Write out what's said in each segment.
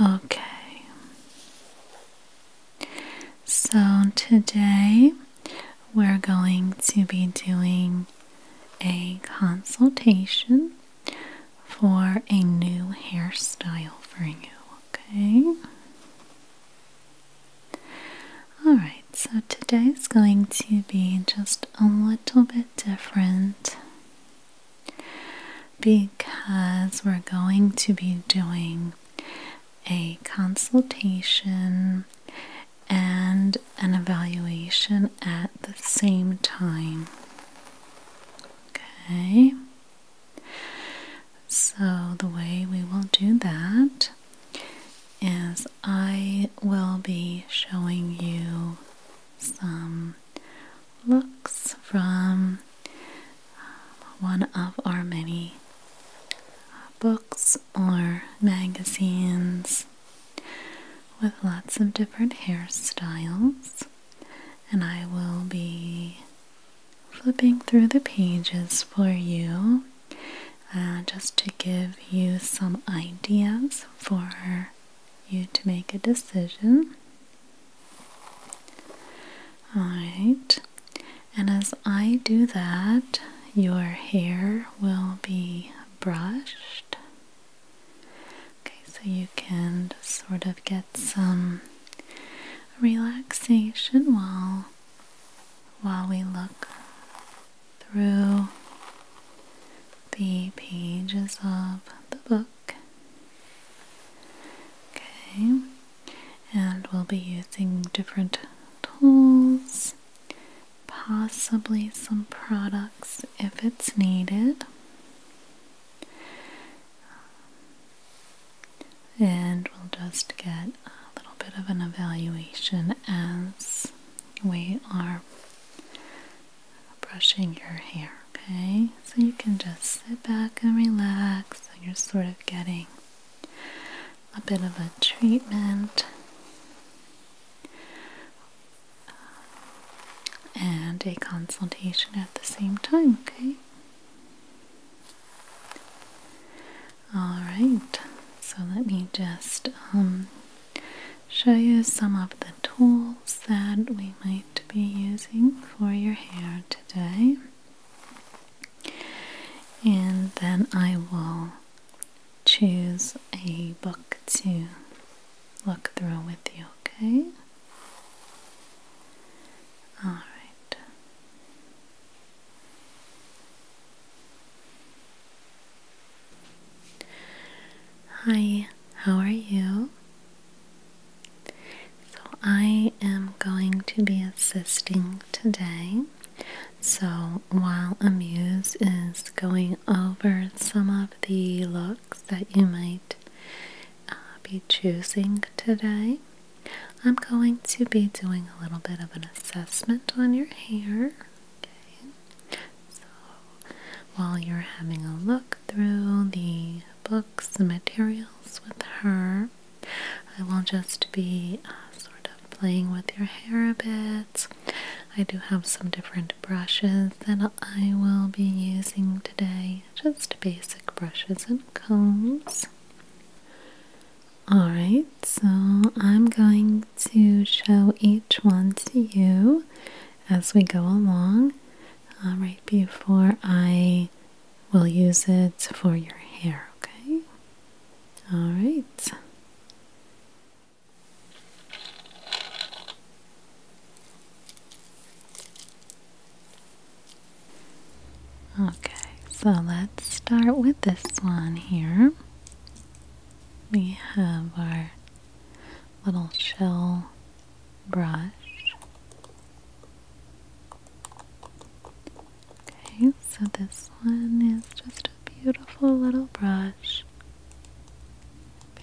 Okay. So today we're going to be doing a consultation for a new hairstyle for you, okay? All right. So today is going to be just a little bit different because we're going to be doing a consultation and an evaluation at the same time. Okay, so the way we will do that is I will be showing you some looks from uh, one of our many uh, books or magazines with lots of different hairstyles. And I will be flipping through the pages for you uh, just to give you some ideas for you to make a decision. Alright, and as I do that, your hair will be brushed. Okay, so you can sort of get some relaxation while while we look through the pages of the book. Okay, and we'll be using different tools, possibly some products if it's needed. And we'll just get a little bit of an evaluation as we are brushing your hair, okay? So you can just sit back and relax. and you're sort of getting a bit of a treatment and a consultation at the same time, okay? All right, so let me just um, show you some of the tools that we might be using for your hair today. And then I will choose a book to look through with you, okay? Alright. Hi, how are you? So, I am going to be assisting today. So, while Amuse is going over some of the looks that you might uh, be choosing today, I'm going to be doing a little bit of an assessment on your hair. So, while you're having a look through the books and materials with her. I will just be uh, sort of playing with your hair a bit. I do have some different brushes that I will be using today, just basic brushes and combs. Alright, so I'm going to show each one to you as we go along uh, right before I will use it for your hair, okay? All right. Okay, so let's start with this one here. We have our little shell brush. Okay, so this one is just a beautiful little brush.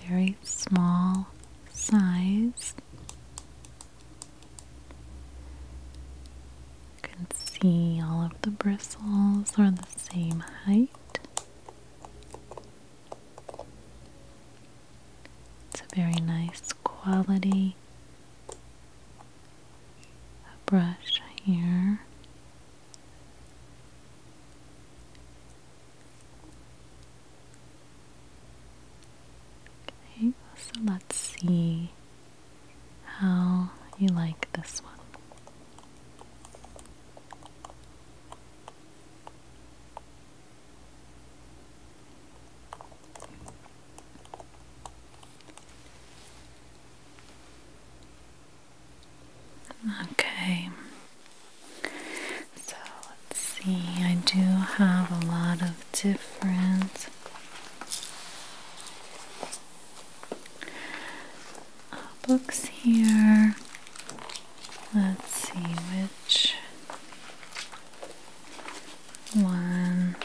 Very small size. You can see all of the bristles are the same height. It's a very nice quality brush here. Okay, so let's see how you like this one. Okay, so let's see. I do have a lot of different uh, books here. Let's see which one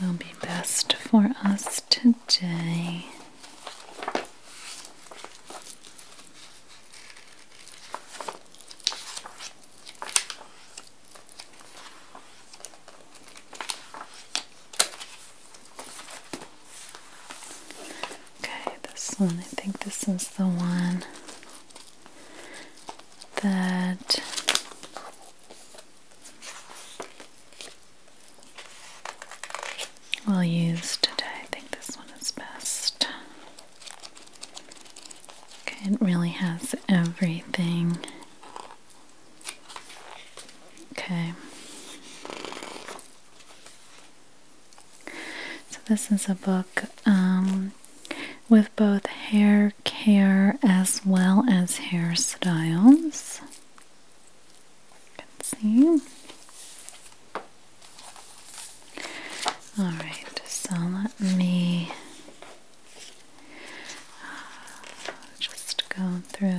will be best for us today. Okay, this one, I think this is the one that we'll use today. I think this one is best. Okay, it really has everything. Okay. So, this is a book um, with both hair care as well as hairstyles. You can see. Alright, so let me uh, just go through.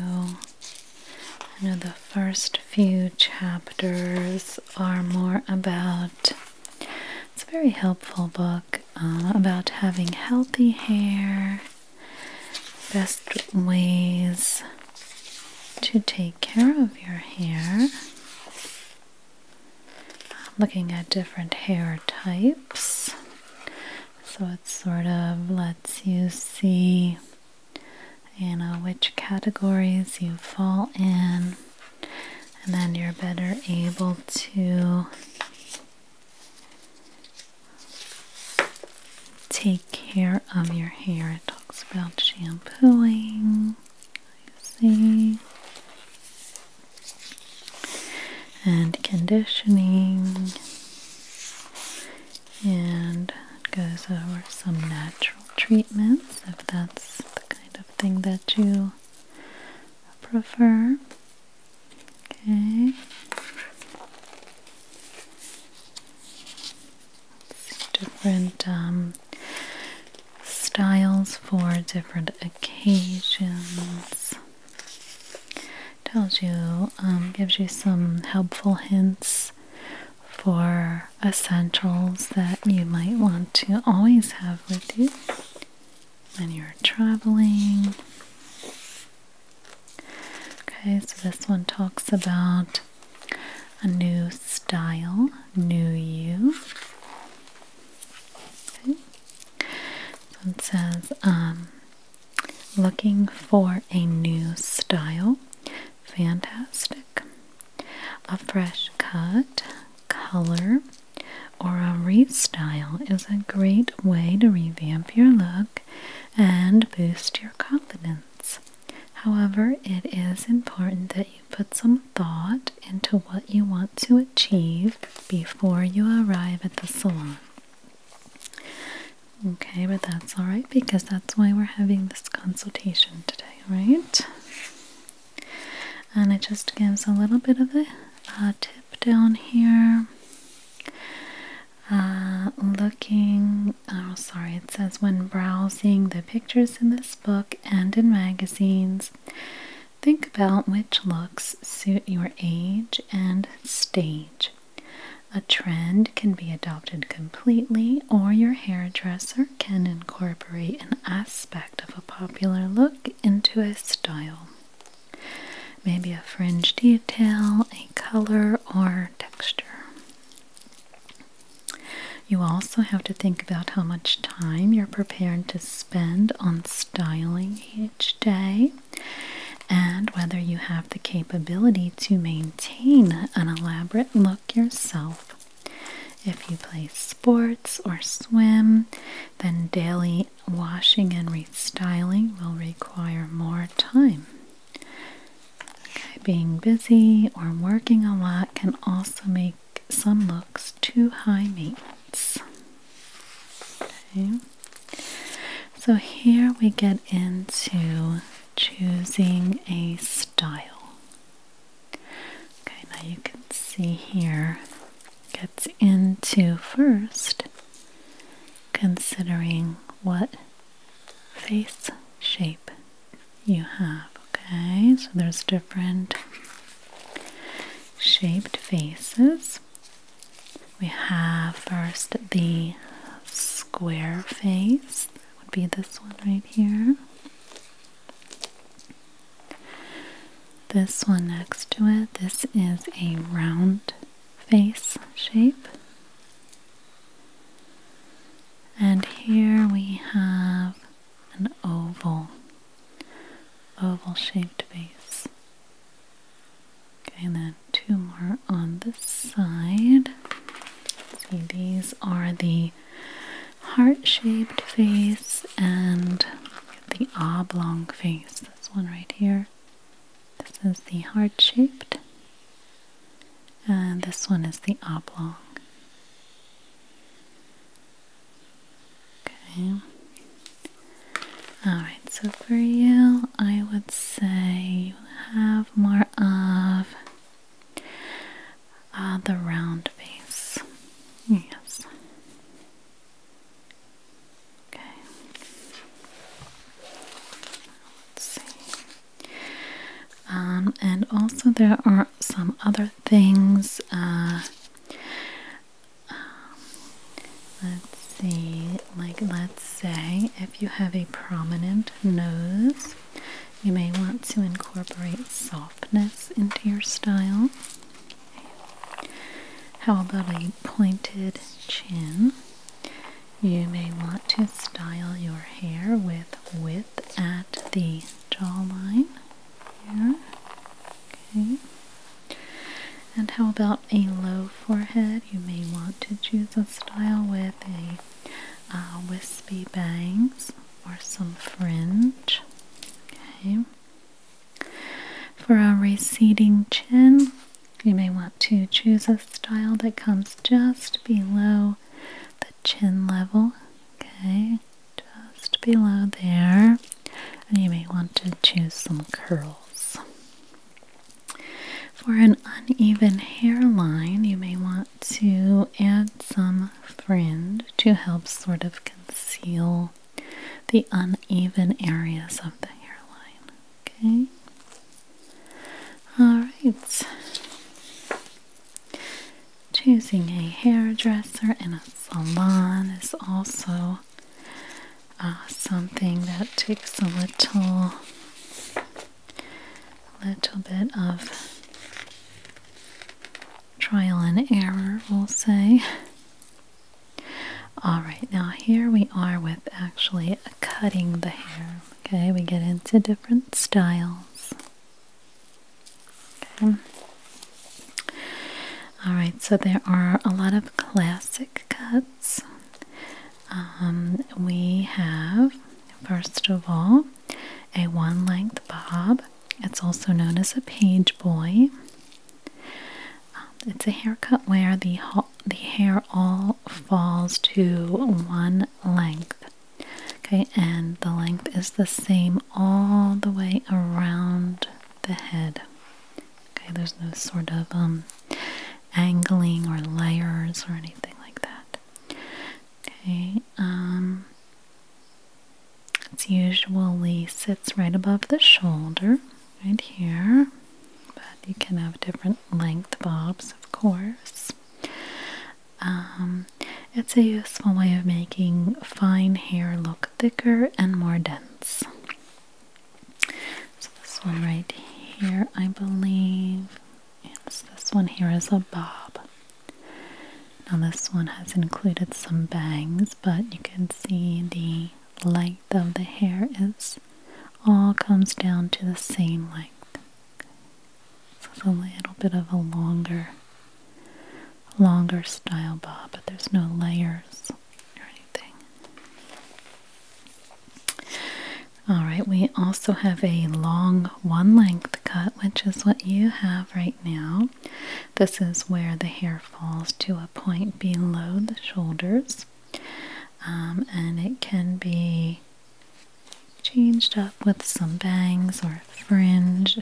the first few chapters books are more about it's a very helpful book uh, about having healthy hair, best ways to take care of your hair, looking at different hair types. So it sort of lets you see you uh, know which categories you fall in, and then you're better able to take care of your hair. It talks about shampooing. see. And conditioning, and it goes over some natural treatments if that's the kind of thing that you prefer. Okay. different um, styles for different occasions. Tells you, um, gives you some helpful hints for essentials that you might want to always have with you when you're traveling. Okay, so this one talks about a new style, new you. So it says, um, looking for a new style. Fantastic. A fresh cut, color, or a restyle is a great way to revamp your look and boost your confidence. However, it is important that you put some thought into what you want to achieve before you arrive at the salon. Okay, but that's all right because that's why we're having this consultation today, right? and it just gives a little bit of a, tip down here uh, looking oh, sorry it says when browsing the pictures in this book and in magazines think about which looks suit your age and stage a trend can be adopted completely or your hairdresser can incorporate an aspect of a popular look into a style. Maybe a fringe detail, a color, or texture. You also have to think about how much time you're prepared to spend on styling each day and whether you have the capability to maintain an elaborate look yourself. If you play sports or swim, then daily washing and restyling will require more time. being busy or working a lot can also make some looks too high maintenance. So here we get into choosing a style. Okay, now you can see here gets into first considering what face shape you have. Okay, so there's different shaped faces. We have first the square face, would be this one right here. This one next to it, this is a round face shape. And here we have an oval, oval shaped face. Okay, and then two more on this side. See, these are the heart-shaped face and the oblong face. This one right here. This is the heart-shaped and this one is the oblong. Okay. Alright, so for you, I would say you have more of Ah, the round face. Yes. Okay. Let's see. Um, and also, there are some other things. Uh, um, let's see. Like, let's say if you have a prominent nose, you may want to incorporate soft into your style. How about a pointed chin? You may want to style your hair with width at the jawline here. Okay. And how about a low forehead? You may want to choose a style with a uh, wispy bangs or some fringe. Okay. For a receding chin, you may want to choose a style that comes just below the chin level. Okay, just below there. And you may want to choose some curls. For an uneven hairline, you may want to add some fringe to help sort of Seal the uneven areas of the hairline. Okay? Alright. Choosing a hairdresser and a salon is also uh, something that takes a little little bit of trial and error, we'll say. Alright, now here we are with actually cutting the hair. Okay, we get into different styles. Okay. Alright, so there are a lot of classic cuts. Um, we have, first of all, a one length bob. It's also known as a page boy. Um, it's a haircut where the, the hair all falls to one length. Okay, and the length is the same all the way around the head. Okay, there's no sort of um, angling or layers or anything like that. Okay, um, it's usually sits right above the shoulder, right here, but you can have different length bobs, of course. Um, it's a useful way of making fine hair look thicker and more dense. So this one right here, I believe, yes, this one here is a bob. Now this one has included some bangs, but you can see the length of the hair is all comes down to the same length. Okay. So it's a little bit of a longer longer style bob, but there's no layers or anything. Alright, we also have a long one length cut, which is what you have right now. This is where the hair falls to a point below the shoulders, um, and it can be changed up with some bangs or fringe.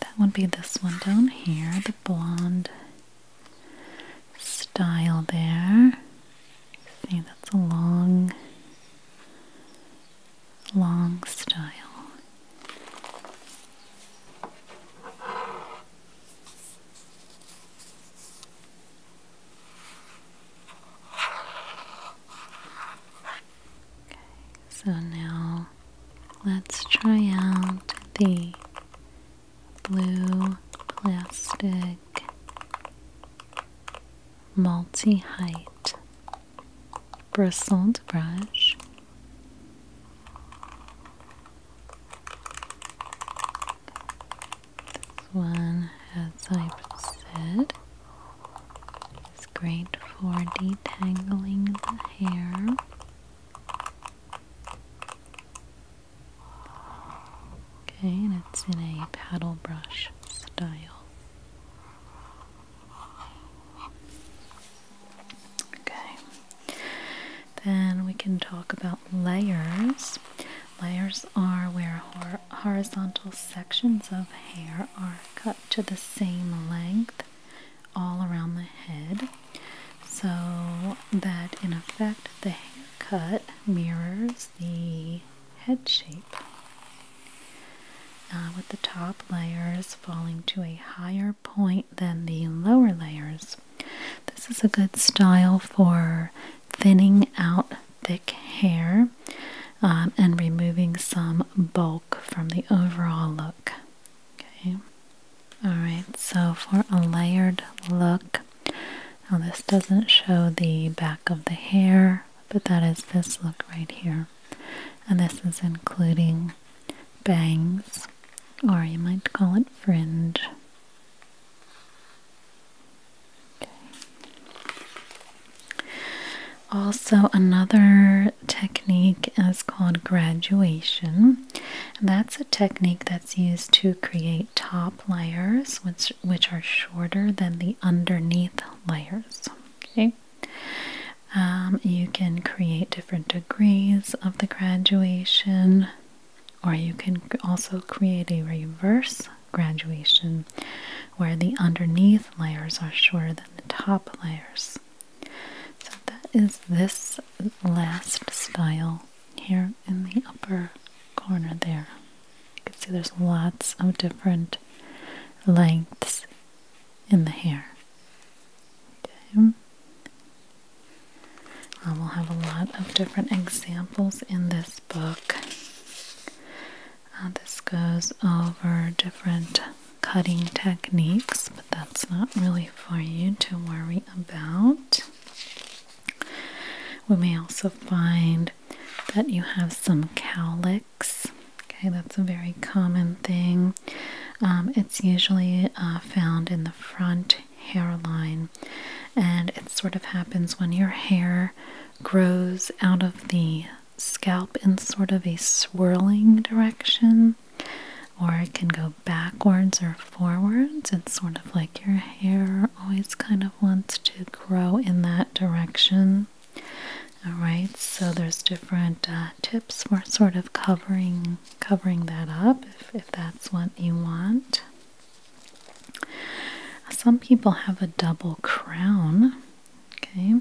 That would be this one down here, the blonde style there. See, that's a long long style. Okay, so now let's try out the blue plastic multi height bristled brush. This one, as I've said, is great for detangling the hair. Okay, and it's in a paddle brush style. Okay, then we can talk about layers. Layers are where horizontal sections of hair are cut to the same length all around the head so that in effect the haircut mirrors the head shape. Uh, with the top layers falling to a higher point than the lower layers. This is a good style for thinning out thick hair um, and removing some bulk from the overall look. Okay, alright, so for a layered look, now this doesn't show the back of the hair, but that is this look right here and this is including bangs, or you might call it fringe. Okay. Also, another technique is called graduation. that's a technique that's used to create top layers, which which are shorter than the underneath layers. Okay, um, you can create different degrees of the graduation, or you can also create a reverse graduation where the underneath layers are shorter than the top layers. So, that is this last style here in the upper corner there. You can see there's lots of different lengths in the hair. Okay. I will have a lot of different examples in this book. Uh, this goes over different cutting techniques, but that's not really for you to worry about. We may also find that you have some cowlicks. Okay, that's a very common thing. Um, it's usually uh, found in the front hairline, and it sort of happens when your hair grows out of the scalp in sort of a swirling direction, or it can go backwards or forwards. It's sort of like your hair always kind of wants to grow in that direction. All right, so there's different uh, tips for sort of covering covering that up if that's what you want. Some people have a double crown. Okay,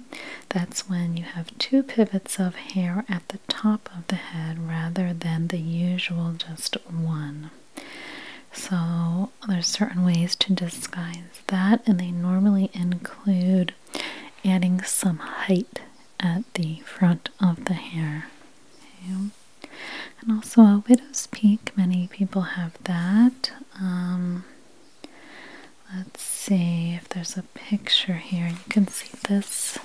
that's when you have two pivots of hair at the top of the head rather than the usual just one. So there's certain ways to disguise that, and they normally include adding some height at the front of the hair. And also a widow's peak, many people have that. Um, let's see if there's a picture here. You can see this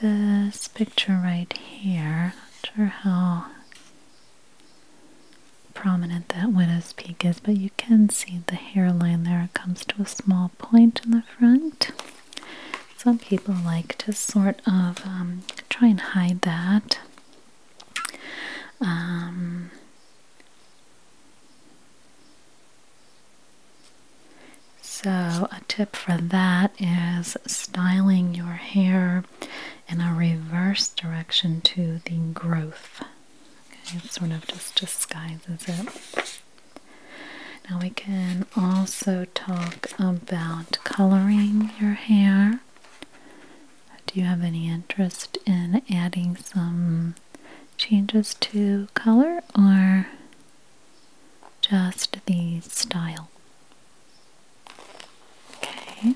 this picture right here. Not sure how prominent that widow's peak is, but you can see the hairline there. It comes to a small point in the front. Some people like to sort of um, try and hide that. Um, so, a tip for that is styling your hair in a reverse direction to the growth. it sort of just disguises it. Now we can also talk about coloring your hair. Do you have any interest in adding some changes to color or just the style? Okay.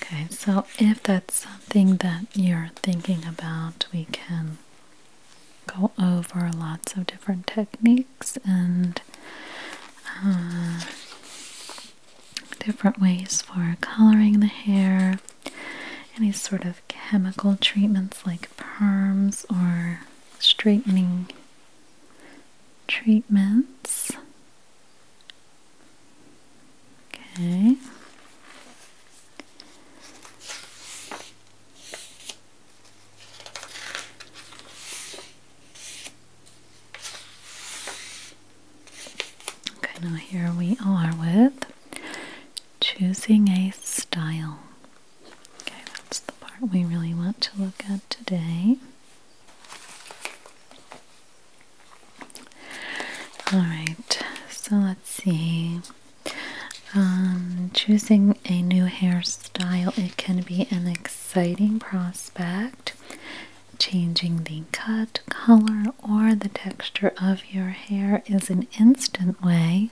Okay, so if that's something that you're thinking about, we can go over lots of different techniques and uh, different ways for coloring the hair, any sort of chemical treatments like perms or straightening treatments. Okay. Okay, now here we are with choosing a style. Okay, that's the part we really want to look at today. All right, so let's see. Um, choosing a new hairstyle, it can be an exciting prospect. Changing the cut, color, or the texture of your hair is an instant way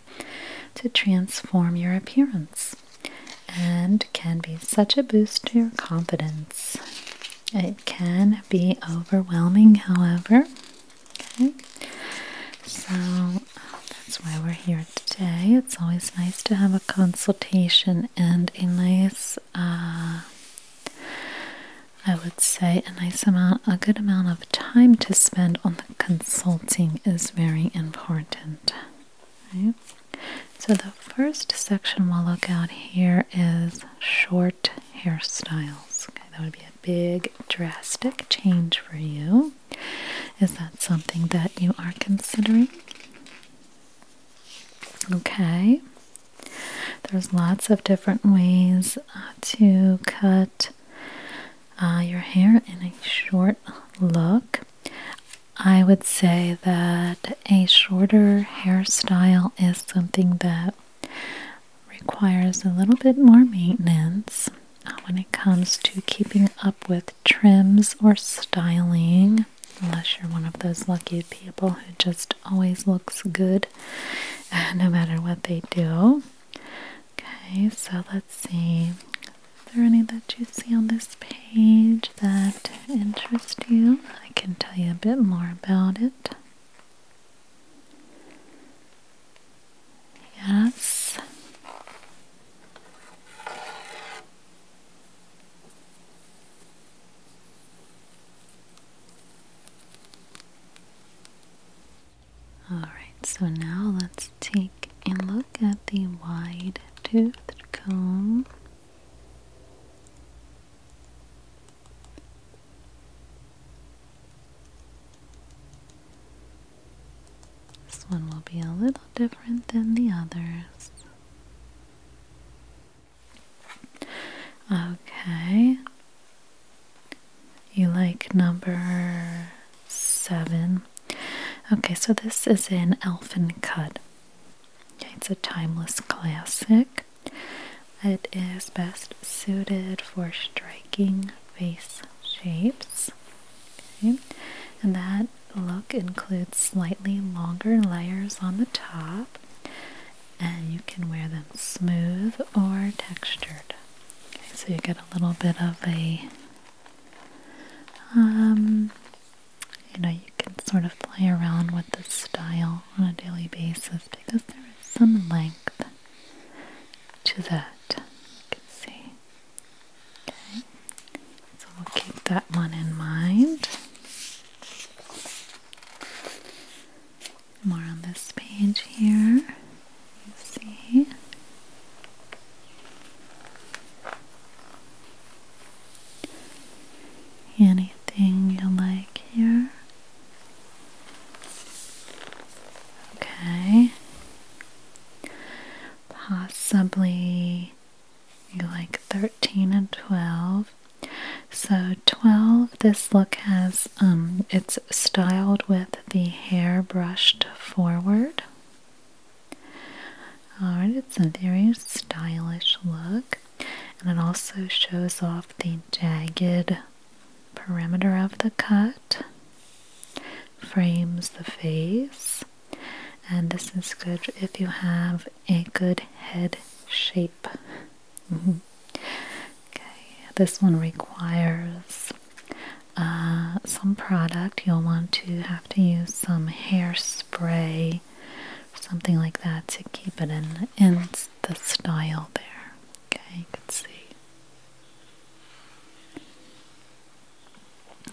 to transform your appearance and can be such a boost to your confidence. It can be overwhelming, however. Okay, so that's why we're here today. It's always nice to have a consultation and a nice, uh, I would say, a nice amount, a good amount of time to spend on the consulting is very important. Right? So, the first section we'll look at here is short hairstyles. that would be a big, drastic change for you. Is that something that you are considering? Okay. There's lots of different ways uh, to cut uh, your hair in a short look. I would say that a shorter hairstyle is something that requires a little bit more maintenance uh, when it comes to keeping up with trims or styling, unless you're one of those lucky people who just always looks good no matter what they do. Okay, so let's see. Is there any that you see on this page that interest you? I can tell you a bit more about it. Yes. All right, so now let's take a look at the wide toothed comb. This one will be a little different than the others. Okay. You like number seven. Okay, so this is an elfin cut. it's a timeless classic. It is best suited for striking face shapes. And that look includes slightly longer layers on the top, and you can wear them smooth or textured. so you get a little bit of a, um, you know, you can sort of play around with the style on a daily basis because there is some length to that. Okay. So we'll keep that one in mind. More on this page here. You see. Anything you like here? Okay. Possibly you like 13 and 12. So 12 this look has um it's styled with the hair brushed forward. Alright, it's a very stylish look and it also shows off the jagged Parameter of the cut, frames the face, and this is good if you have a good head shape. Mm-hmm. Okay, this one requires uh, some product. You'll want to have to use some hairspray, something like that, to keep it in the style there. Okay, you can see.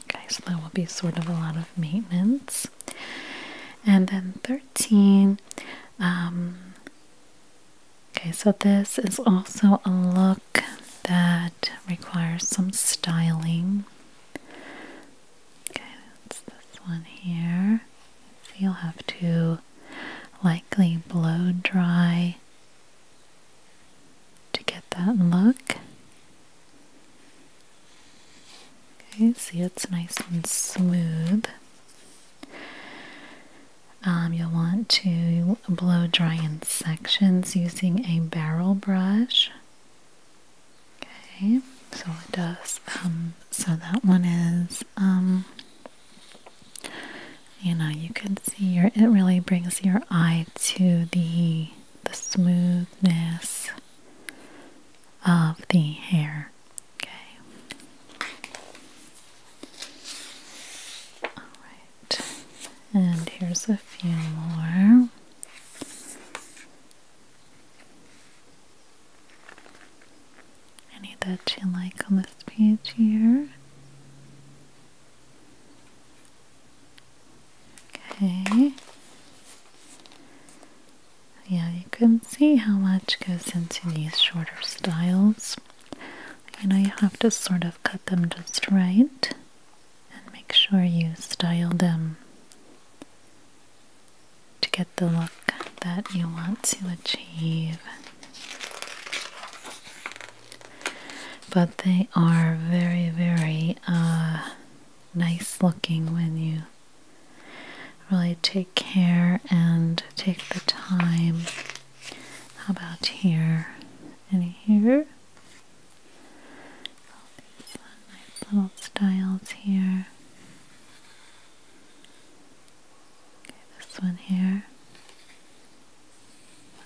Okay, so that will be sort of a lot of maintenance. And then 13. Um, okay, so this is also a look that requires some styling. Okay, that's this one here. So you'll have to lightly blow dry to get that look. Okay, see it's nice and smooth. Um, you'll want to blow dry in sections using a barrel brush. Okay, so it does. Um, so that one is um, you know, you can see your it really brings your eye to the the smoothness of the hair. Okay. Alright. And here's a few more any that you like on this page here. Okay. Yeah, you can see how much goes into these shorter styles. and I have to sort of cut them just right and make sure you style them to get the look that you want to achieve. But they are very, very uh, nice looking when you really take care and take the time. How about here? Any here? Nice little styles here. Okay, this one here.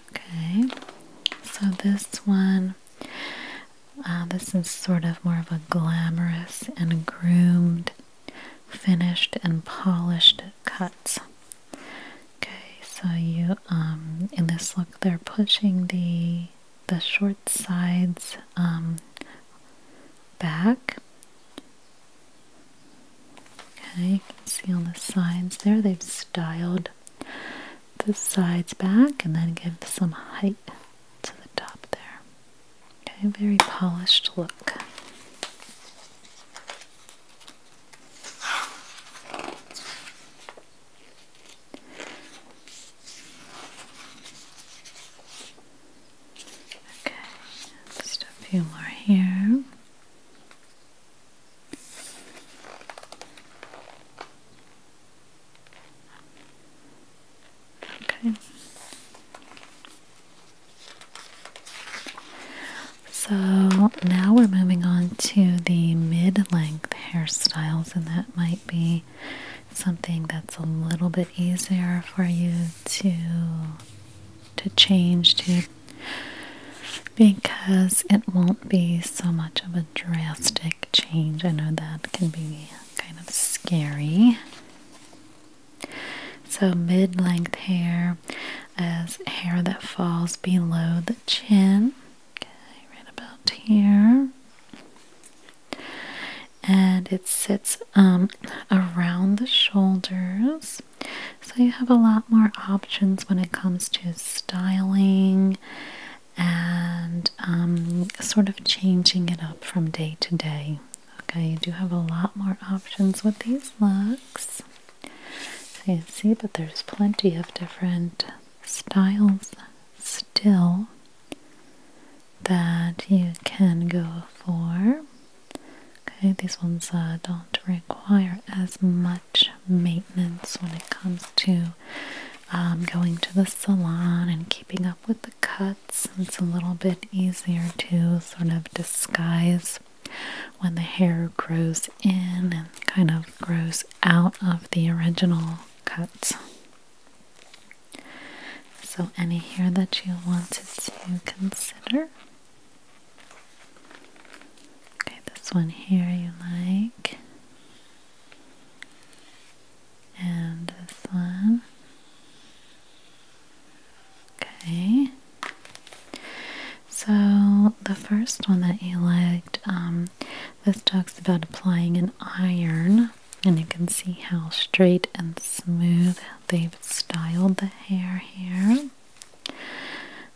Okay, so this one, uh, this is sort of more of a glamorous and groomed, finished and polished cut. Okay, so you um, in this look they're pushing the the short sides um, back Okay, you can see on the sides there, they've styled the sides back and then give some height to the top there. Okay, very polished look. Okay, just a few more here. Okay. So now we're moving on to the mid length hairstyles, and that might be something that's a little bit easier for you to to change to because it won't be so much of a drastic change. I know that can be kind of scary. So, mid length hair is hair that falls below the chin, right about here. And it sits um, around the shoulders so you have a lot more options when it comes to styling and um, sort of changing it up from day to day. Okay, you do have a lot more options with these looks. you see, but there's plenty of different styles still that you can go for. Okay, these ones uh, don't require as much maintenance when it comes to um, going to the salon and keeping up with the cuts. It's a little bit easier to sort of disguise when the hair grows in and kind of grows out of the original cut. So, any hair that you wanted to consider? Okay, this one here you like. And this one. Okay. So the first one that you liked, um, this talks about applying an iron. And you can see how straight and smooth they've styled the hair here.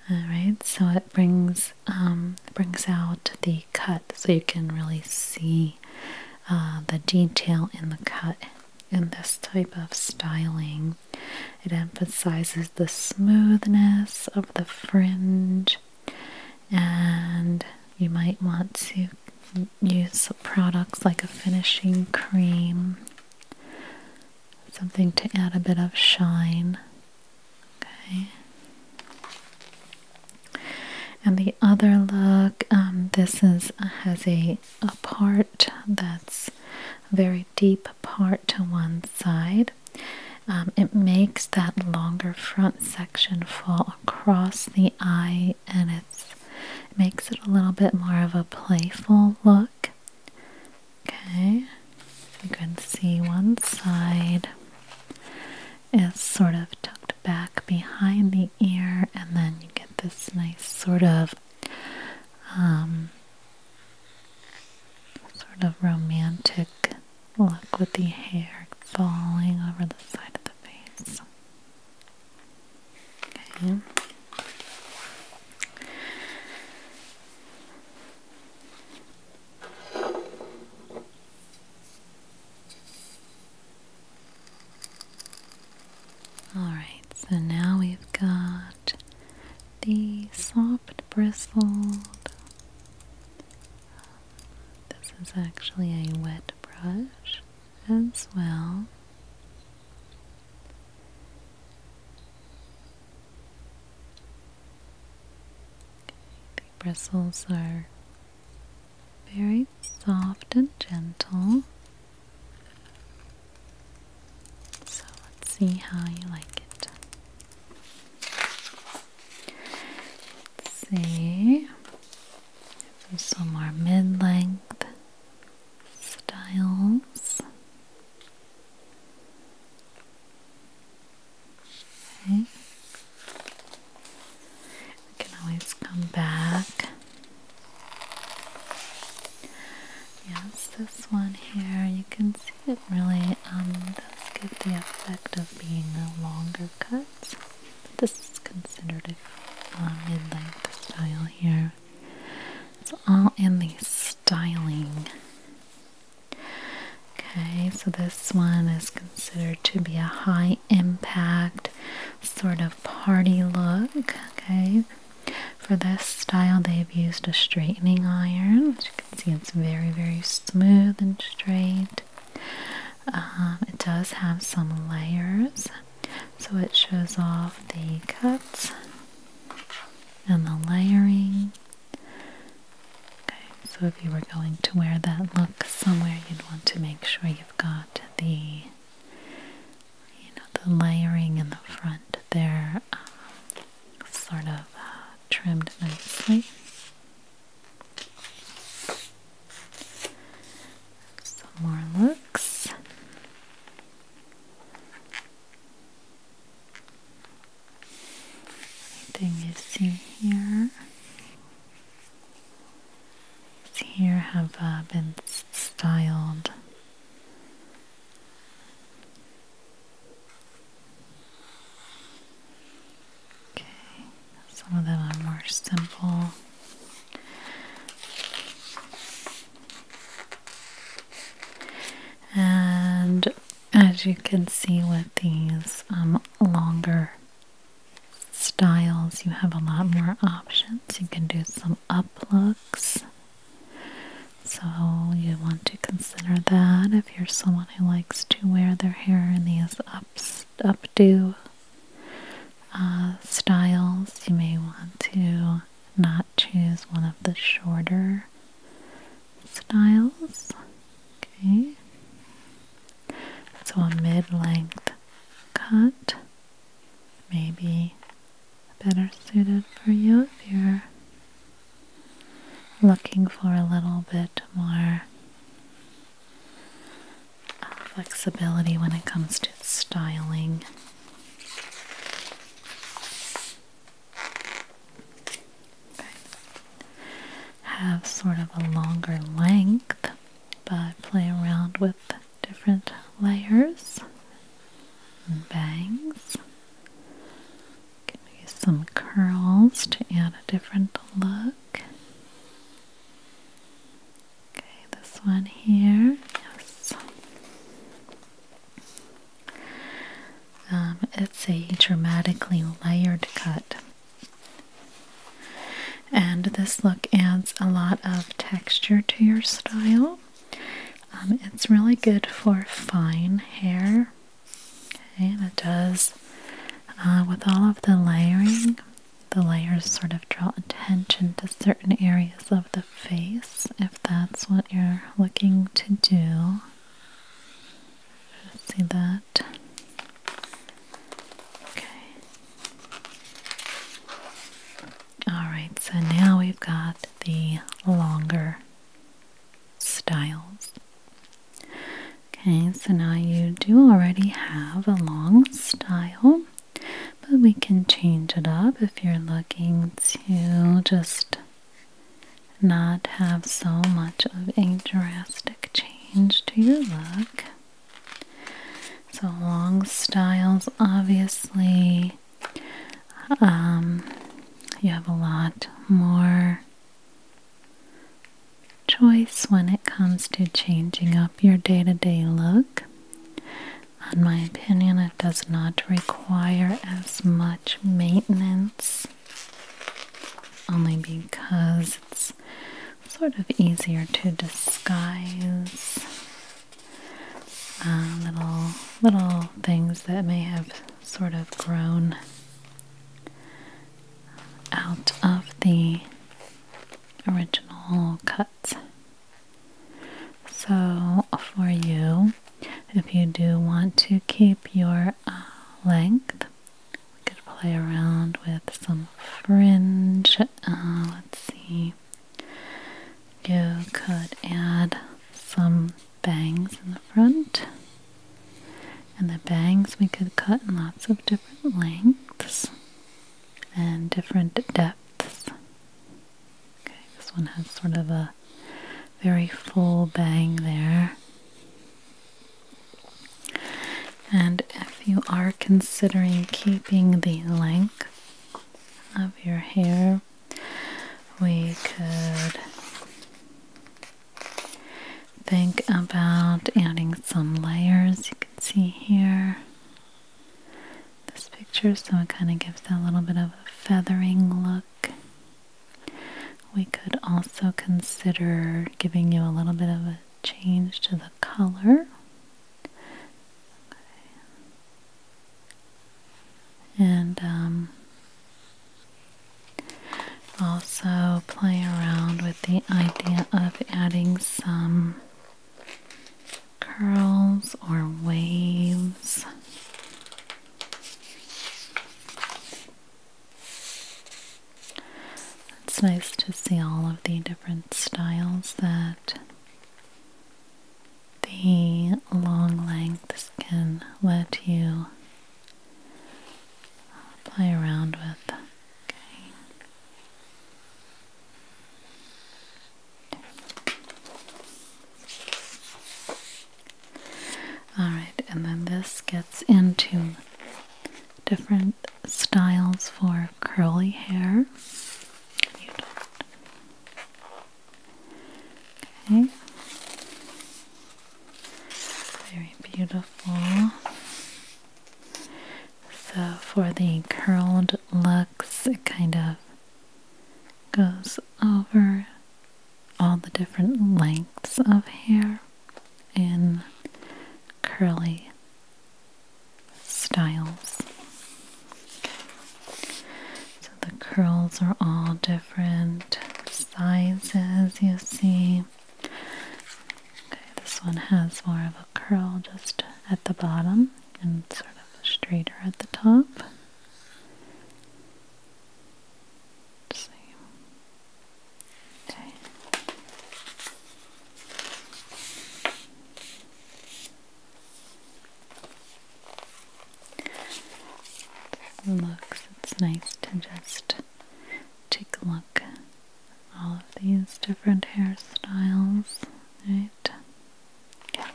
All right, so it brings um, brings out the cut, so you can really see uh, the detail in the cut. In this type of styling, it emphasizes the smoothness of the fringe, and you might want to use products like a finishing cream something to add a bit of shine. Okay. And the other look, um, this is has a, a part that's a very deep part to one side. Um, it makes that longer front section fall across the eye and it's, it makes it a little bit more of a playful look. Okay, you can see one side is sort of tucked back behind the ear, and then you get this nice sort of um, sort of romantic look with the hair falling over the side of the face. Alright, so now we've got the soft bristled. This is actually a wet brush as well. The bristles are very soft and gentle. So let's see how you like it. Let's see. Some more mid length styles. Okay. can always come back. Yes, this one here, you can see it really um, does give the effect of being a longer cut. this is considered a um, mid-length style here. It's all in these Dialing. Okay, so this one is considered to be a high impact sort of party look. Okay, for this style, they've used a straightening iron. you can see, it's very, very smooth and straight. Um, it does have some layers, so it shows off the cuts and the layering. Okay, so if you were going to wear that look somewhere, you'd want to make sure you've got the, you know, the layering in the front there, um, sort of uh, trimmed nicely. Some more looks. Anything you see here? See here have uh, been styled Okay, some of them are more simple and as you can see with these um, longer styles you have a lot more options you can do some up looks so you want to consider that if you're someone who likes to wear their hair in these up updo uh, styles you may want to not choose one of the shorter styles. Okay. So a mid-length cut may be better suited for you if you're looking for a little bit more flexibility when it comes to styling. Have sort of a longer length, but play around with different layers and bangs. Can use some curls to add a different look. Okay, this one here, yes. Um, it's a dramatically layered cut, and this look adds a lot of texture to your style. Um, it's really good for fine hair, okay, and it does uh, with all of the layering. The layers sort of draw attention to certain areas of the face if that's what you're looking to do. See that? Okay. Alright, so now we've got the longer styles. Okay, so now you do already have a long style, but we can change it up if you're looking to just not have so much of a drastic change to your look. So, long styles obviously, um, you have a lot more choice when it comes to changing up your day to day look. In my opinion, it does not require as much maintenance only because it's sort of easier to disguise uh, little little things that may have sort of grown out of the original cut. So, for you, if you do want to keep your uh, length, we could play around with some fringe. Uh, let's see, you could add some bangs in the front, and the bangs we could cut in lots of different lengths and different depths. Okay, this one has sort of a very full bang there. And if you are considering keeping the length of your hair, we could think about adding some layers. You can see here this picture, so it kind of gives that little bit of a feathering look. We could also consider giving you a little bit of a change to the color. And um, also play around with the idea of adding some curls or waves it's nice to see all of the different styles that the long lengths can let you play around with. Alright, and then this gets into different styles for curly hair. Okay. Very beautiful. So for the curled looks, it kind of goes over all the different lengths of hair in curly styles. So the curls are all different sizes, you see. Okay, this one has more of a curl just at the bottom and sort of straighter at the top let Okay. Looks, it's nice to just take a look at all of these different hairstyles, right? Yeah.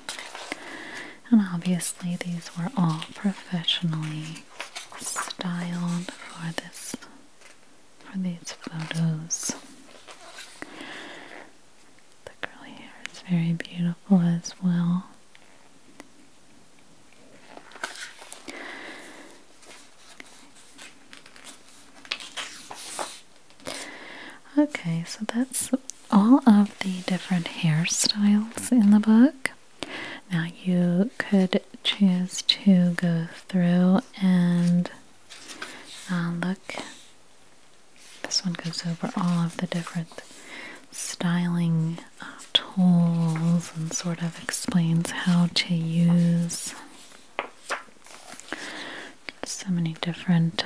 And obviously, these were all professionally styled for this for these photos. The curly hair is very beautiful as well. Okay, so that's all of the different hairstyles in the book. Now you could choose to go through and uh, look. This one goes over all of the different styling uh, tools and sort of explains how to use so many different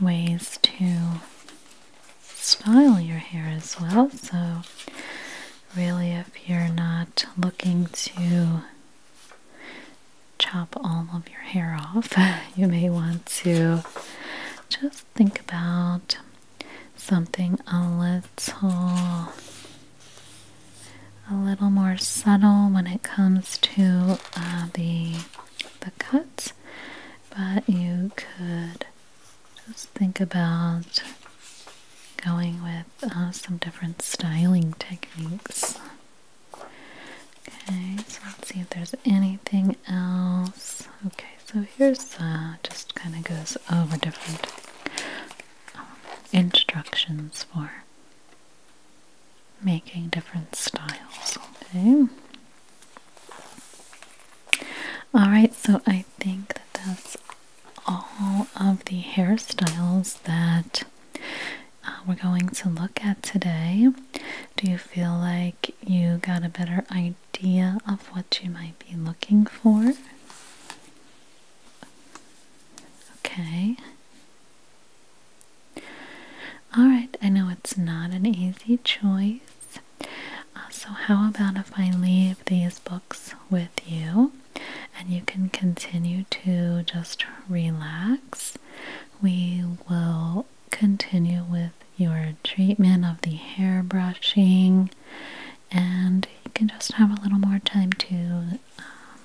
ways to style your hair as well. So, really, if you're not looking to chop all of your hair off, you may want to just think about something a little a little more subtle when it comes to uh, the the cuts but you could just think about going with uh, some different styling techniques. Okay, so let's see if there's anything else. Okay, so here's uh, just kind of goes over different um, instructions for making different styles. Okay, Alright, so I think that that's all of the hairstyles that uh, we're going to look at today. Do you feel like you got a better idea of what you might be looking for? Okay. Alright, I know it's not an easy choice, uh, so, how about if I leave these books with you and you can continue to just relax? We will continue with your treatment of the hair brushing, and you can just have a little more time to um,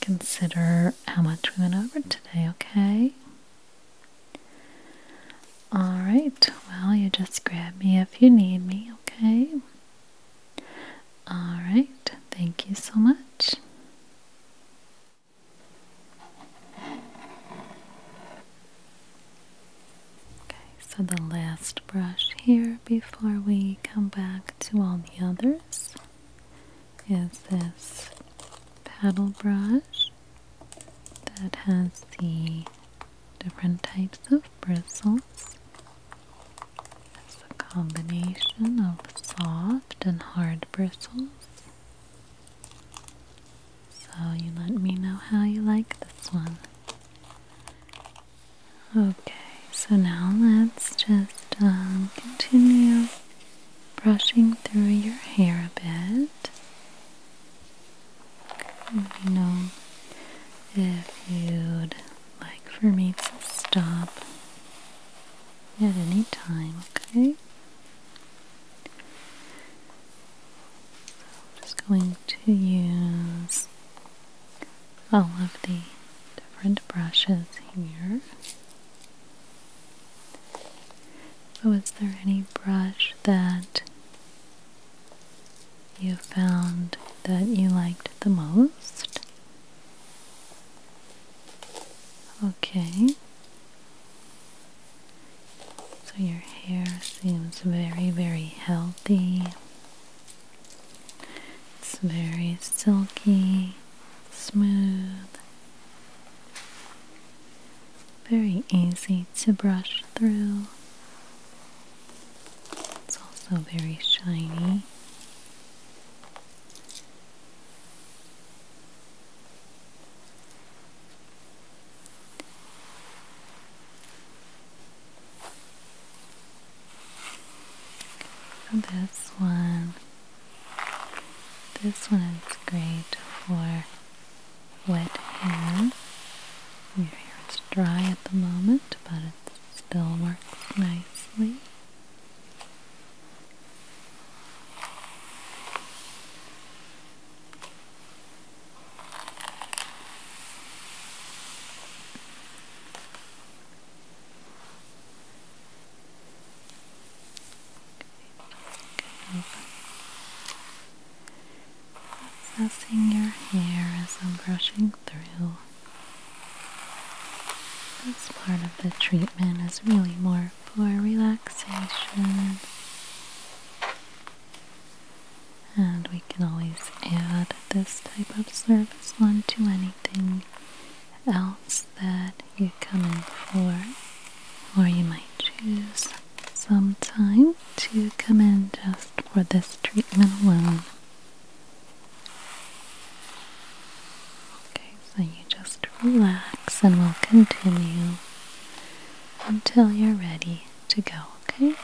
consider how much we went over today, okay? Alright, well, you just grab me if you need me, okay? Alright, thank you so much. Okay, so the last brush here before we come back to all the others is this paddle brush that has the different types of bristles. It's a combination of soft and hard bristles. So you let me know how you like this one. Okay, so now let's just um, continue brushing through your hair a bit you know if you'd like for me to stop at any time, okay? I'm just going to use all of the different brushes here. So, there any brush that you found that you liked the most? Okay. So your hair seems very, very healthy. It's very silky, smooth very easy to brush through. It's also very shiny. this one, this one is great for wet hair. Your hair is dry at the moment, but it still works nicely. Okay. Processing your hair as I'm brushing through. This part of the treatment is really more for relaxation. And we can always add this type of service onto anything else that you come in for, or you might choose some time to come in just for this treatment alone. Okay, so you just relax and we'll continue until you're ready to go, okay?